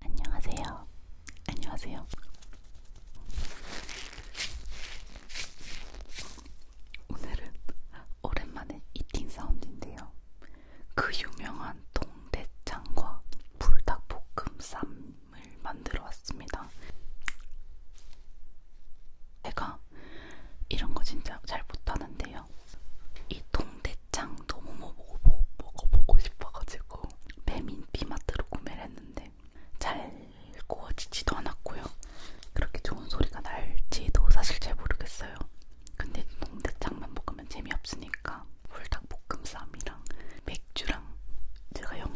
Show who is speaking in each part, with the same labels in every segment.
Speaker 1: 안녕하세요. 안녕하세요. 오늘은 오랜만에 이팅 사운드인데요. 그 유명한 동대창과 불닭볶음쌈을 만들어 왔습니다. 제가 이런 거 진짜 잘 못하는데요. 이 동대 대창 너무 먹어보고, 뭐, 뭐, 뭐, 먹어보고 싶어가지고 배민비마트로 구매를 했는데 잘 구워지지도 않았고요. 그렇게 좋은 소리가 날지도 사실 잘 모르겠어요. 근데 동대창만 먹으면 재미없으니까 불닭볶음쌈이랑 맥주랑 제가 영,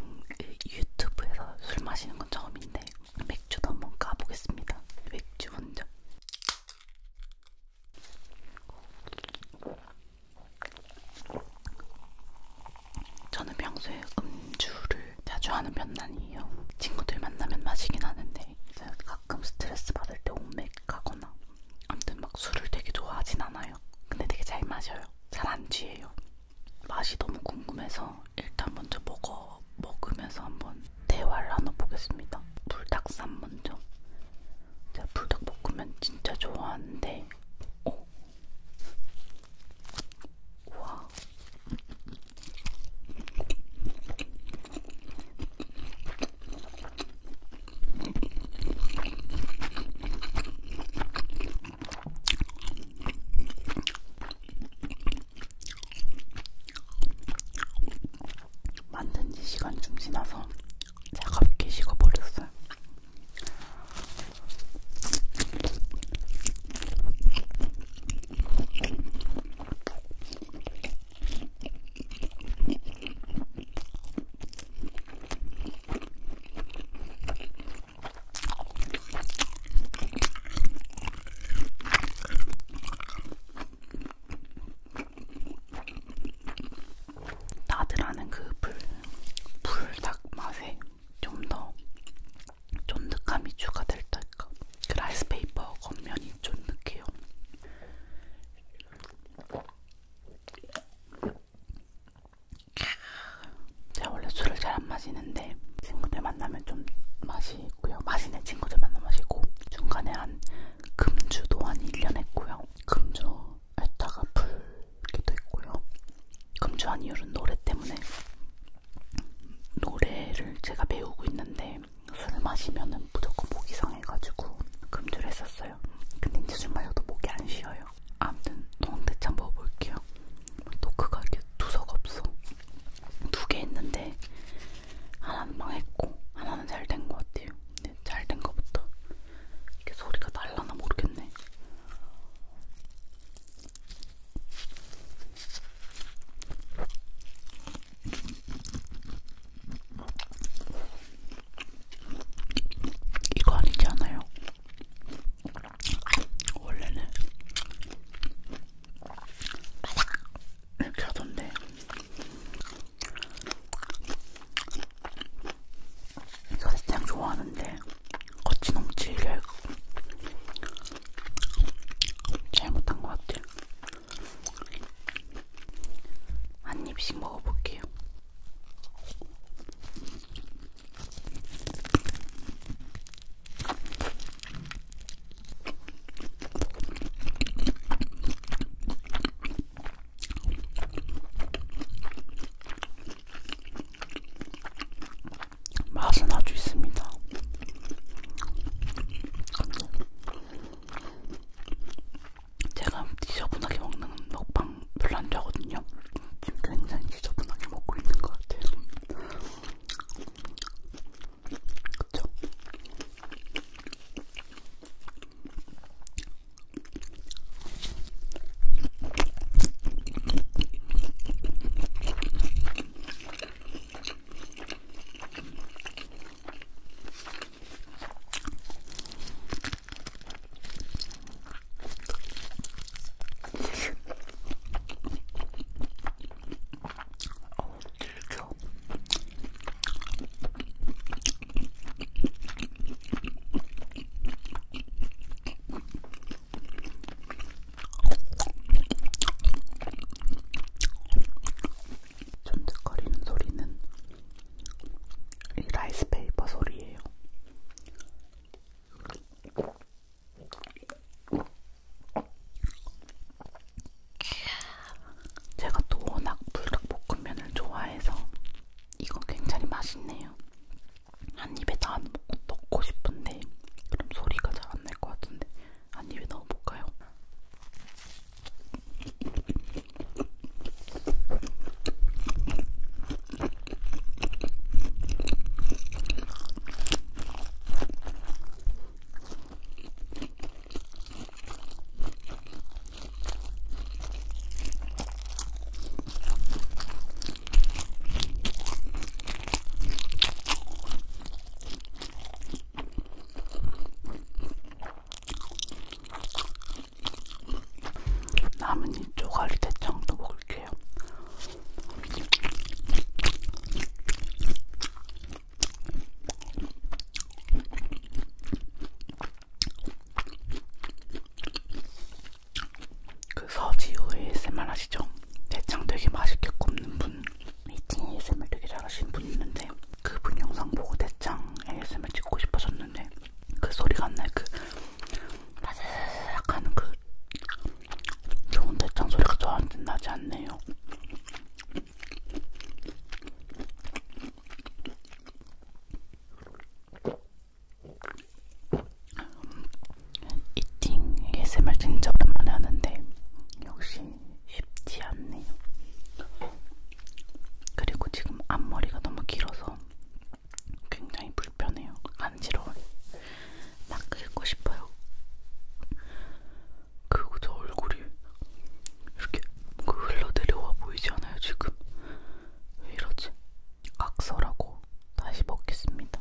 Speaker 1: 유튜브에서 술 마시는 건 처음인데 맥주도 한번 까보겠습니다. 맥주 먼저. 저는 평소에 음주를 자주 하는 편은 아니에요. 친구들 만나면 마시긴 하는데 가끔 스트레스 받을 때 옴맥하거나 아무튼 막 술을 되게 좋아하진 않아요. 근데 되게 잘 마셔요. 잘안 취해요. 맛이 너무 궁금해서 일단 먼저 먹어 먹으면서 한번 대화를 나눠보겠습니다. 불닭쌈 먼저. 제가 불닭볶음면 진짜 좋아하는데, 오. 우와. 만든 지 시간 좀 지나서 차갑게 식어버렸어요. 나드라는 그 불, 불닭 맛에 좀 더 쫀득함이 추가될 때까 그 라이스페이퍼 겉면이 쫀득해요. 제가 원래 술을 잘 안 마시는데 친구들 만나면 좀 맛이 있고요. 맛있는 친구들 만나 마시고 중간에 한 금주도 한 1년 했고요. 금주 했다가 풀기도 했고요. 금주한 이유는 노래 때문에 노래를 제가 배우고 있는데 술을 마시면은 무조건 목이 상해가지고 금주를 했었어요. 근데 이제 술 마셔도 목이 안 쉬어요. 아무튼 동대창 먹어볼게요. 토크가 이렇게 두서가 없어. 두개 있는데 하나는 망했고 하나는 잘 된 것 같아요. 근데 잘된 거부터 이게 소리가 달라나 모르겠네. 이거 아니지 않아요? 원래는 바삭 이렇게 하던데 이거 그냥 좋아하는데 거치농치를 잘못한 것 같아요 한 입씩 먹어볼게요 맛은 아주 있습니다. 제가 지저분하게 먹는 먹방 별로 안 좋아하거든요. 지금 굉장히 지저분하게 먹고 있는 것 같아요. 그쵸? 어, 들켜. 쫀득거리는 소리는 이 라이스페이퍼 소리예요. 제가 또 워낙 불닭볶음면을 좋아해서 이거 굉장히 맛있네요. 한 입에 다 넣고 싶은데 그럼 소리가 잘 안 날 것 같은데 한 입에 넣어볼까요? 남은 이 쪼가리 대창도 먹을게요. 그 서지호 ASMR 아시죠? 대창 되게 맛있게 굽는 분 이팅 ASMR 되게 잘하시는 분 있는데 그분 영상 보고 대창 ASMR 찍고 싶어졌는데 그 소리가 안날그 라삭 하는 그 좋은 대창 소리가 저한테 나지 않네요. 이팅 ASMR 진짜 오랜만에 하는데 역시 쉽지 않네요. 그리고 지금 앞머리가 너무 길어서 굉장히 불편해요. 간지러워요. 막 긁고 싶어요. 그리고 저 얼굴이 이렇게 그 흘러내려와 보이지 않아요, 지금? 왜 이러지? 각설하고 다시 먹겠습니다.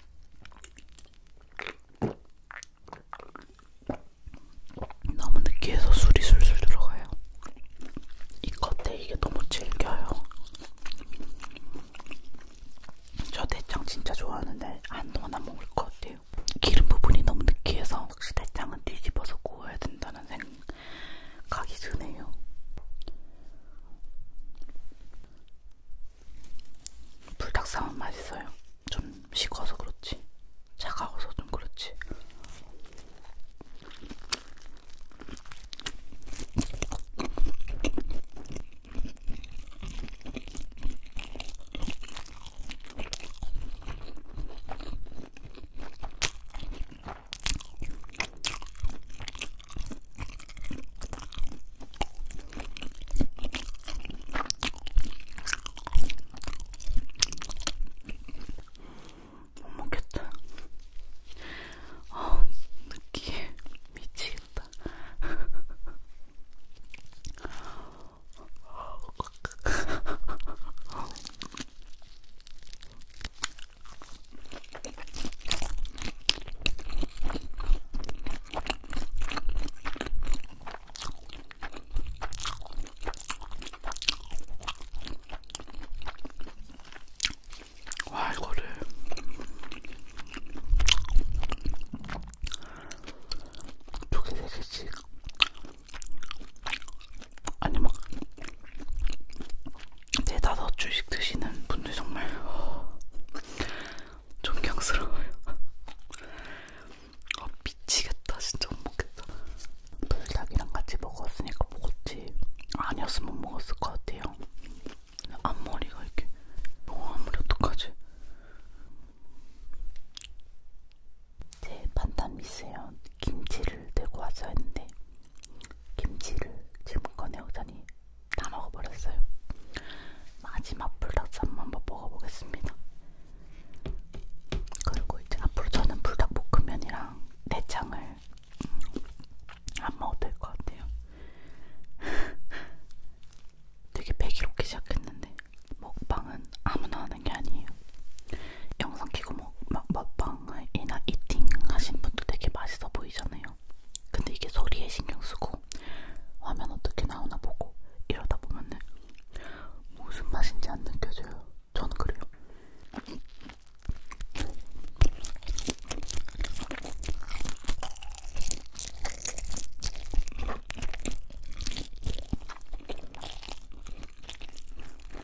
Speaker 1: 너무 느끼해서 술이 술술 들어가요. 이 겉에 이게 너무 질겨요. 저 대창 진짜 좋아하는데 한동안 안 먹을 것 같아요. 기름 부분이 너무 느끼해서 혹시 대창은 뒤집어서 구워야 된다는 생각이 드네요. 불닭사은 맛있어요. 좀 식어서 그렇지. 차가워서 좀 그렇지. 못 먹겠다. 아, 느끼해. 미치겠다. 와 이거를 두개 세개씩 아니 막 뭐. 네다섯 주씩 드시는 분들 정말 존경스러워요. 아, 미치겠다. 진짜 못 먹겠다. 불닭이랑 같이 먹었으니까 먹었지. 아니었으면 못 먹었을 것 같아요. 앞머리가 이렇게 너무 아무리 어떡하지? 제 판단 미세요. 김치를 들고 왔어야 했는데 김치를 지금 꺼내오자니 다 먹어버렸어요. 마지막 불닭쌈만 먹어보겠습니다. 그리고 이제 앞으로 저는 불닭볶음면이랑 내장을 음, 안 먹어도 될 것 같아요. 되게 배기롭게 시작했는데 먹방은 아무나 하는 게 아니에요. 영상 키고 뭐, 막 먹방이나 이팅 하신 분들 되게 맛있어 보이잖아요. 근데 이게 소리에 신경 쓰고 화면 어떻게 나오나 보고 이러다 보면은 무슨 맛인지 안 느껴져요. 저는 그래요.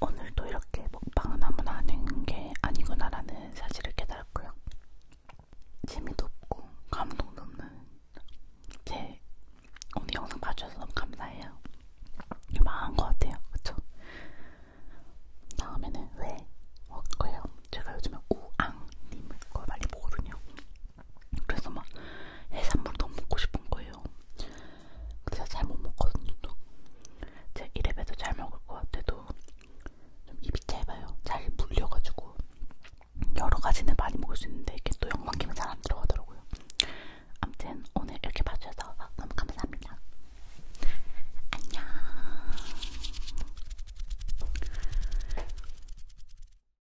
Speaker 1: 오늘도 이렇게 먹방은 아무나 하는 게 아니구나라는 사실을 깨달았고요. 재미도 없고 감동도 없는 제 오늘 영상 봐주셔서 너무 감사해요. 망한 것 같아요. 그쵸? 다음에는 왜 먹고요? 제가 요즘에 우앙님을 많이 보거든요. 그래서 막 해산물 너무 먹고 싶은 거예요. 근데 잘못 먹거든요. 또. 제가 이래봬도 잘 먹을 것 같아도 좀 입이 짧아요. 잘 물려가지고 여러 가지는 많이 먹을 수 있는데 이게 또 영만기면 잘안 들어가더라고요. 아무튼 오늘 이렇게 봐주셔서 너무 감사합니다. 안녕.